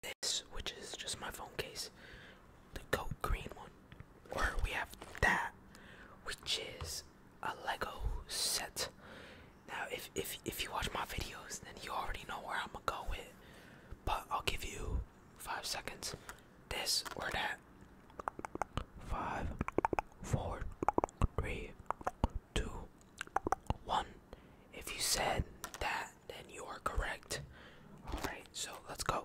this, which is just my phone case, the coat green one, or we have that, which is a Lego set. Now, if if if you watch my videos, then you already know where I'm gonna go with, but I'll give you five seconds. This or that. Five, four, three, two, one. If you said that, then you are correct. All right, so let's go.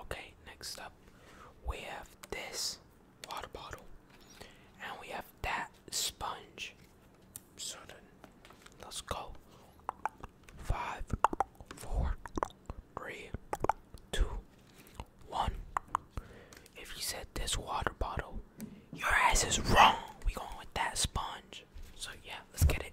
Okay, next up we have this water bottle and we have that sponge. let's go. Five, four, three, two, one. If you said this water bottle, your ass is wrong. We going with that sponge. So yeah, let's get it.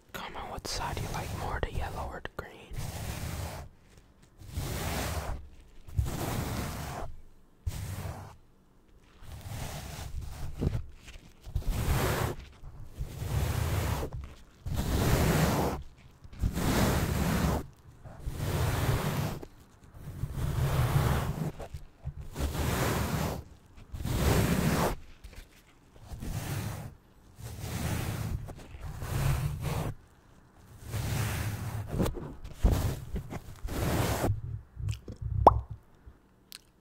Come on. what side you like more, the yellow or the green.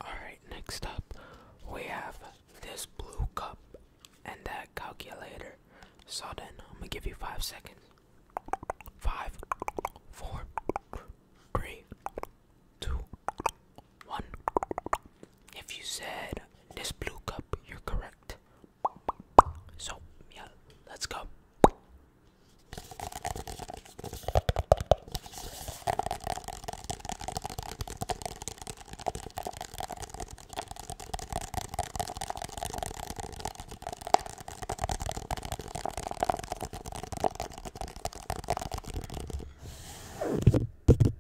Alright, next up we have this blue cup and that calculator. So then I'm gonna give you five seconds. Five, four, three, two, one. If you said this blue cup, you're correct. So, yeah, let's go.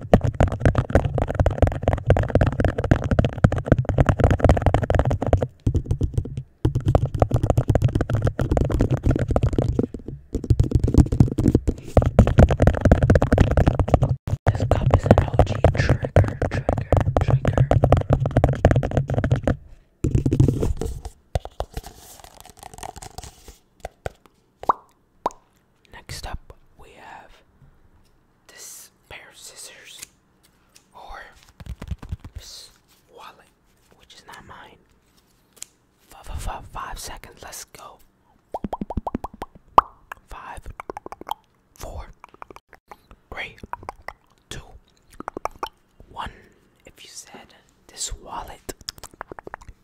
This cup is an OG trigger, trigger, trigger. Next up, we have this pair of scissors or this wallet, which is not mine. Five, five, five, five seconds, let's go. Five, four, three, two, one. If you said this wallet,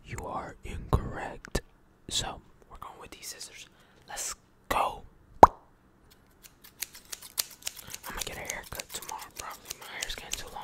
you are incorrect. So we're going with these scissors. Let's go. I'm gonna get a haircut tomorrow, probably. My hair's getting too long.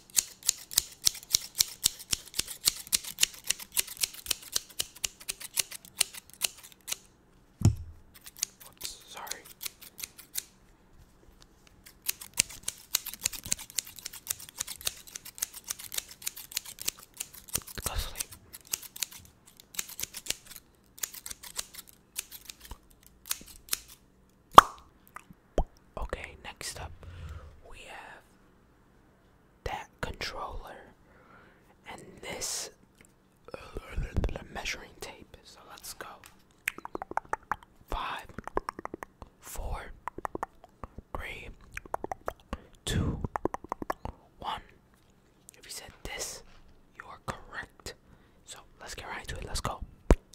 Oops, sorry. Go sleep. Okay, next up we have that controller and this measuring tape. So let's go. Five, four, three, two, one. If you said this, you are correct. So let's get right into it. Let's go.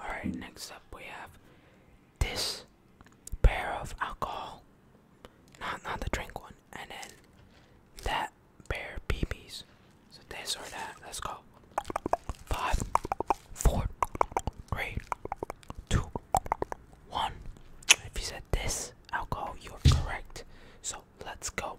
All right, next up we have this pair of alcohol. Not not the drink one. And then that bear peepees. So this or that. Let's go. Five, four, three, two, one. If you said this alcohol, you're correct. So let's go.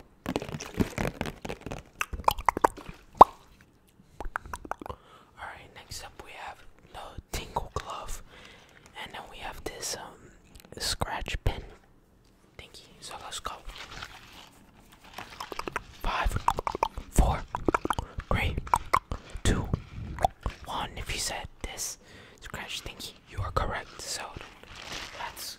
Alright, next up we have the tingle glove. And then we have this um, scratch pen thingy. So let's go. Five, four, three, two, one. If you said this scratch thingy, you are correct. So let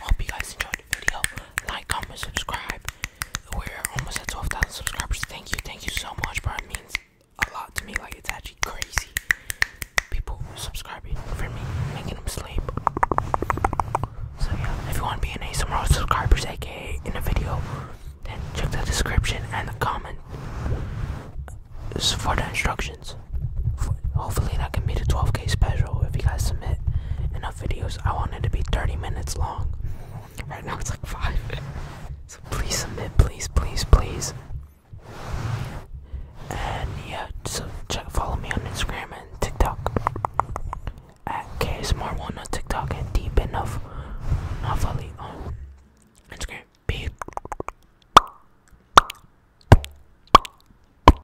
Hope you guys enjoyed the video. Like, comment, subscribe. We're almost at 12,000 subscribers. Thank you, thank you so much, bro. It means a lot to me. Like, it's actually crazy. People subscribing for me, making them sleep. So, yeah, if you want to be an ASMR subscribers, aka in a video, then check the description and the comment for the instructions hopefully, that can be the 12k special if you guys submit enough videos. I want it to be 30 minutes long. Right now it's like five. So please submit, please, please, please. And yeah, so check follow me on Instagram and TikTok at KSMR1 on TikTok and deep enough Navali on Instagram. Peace.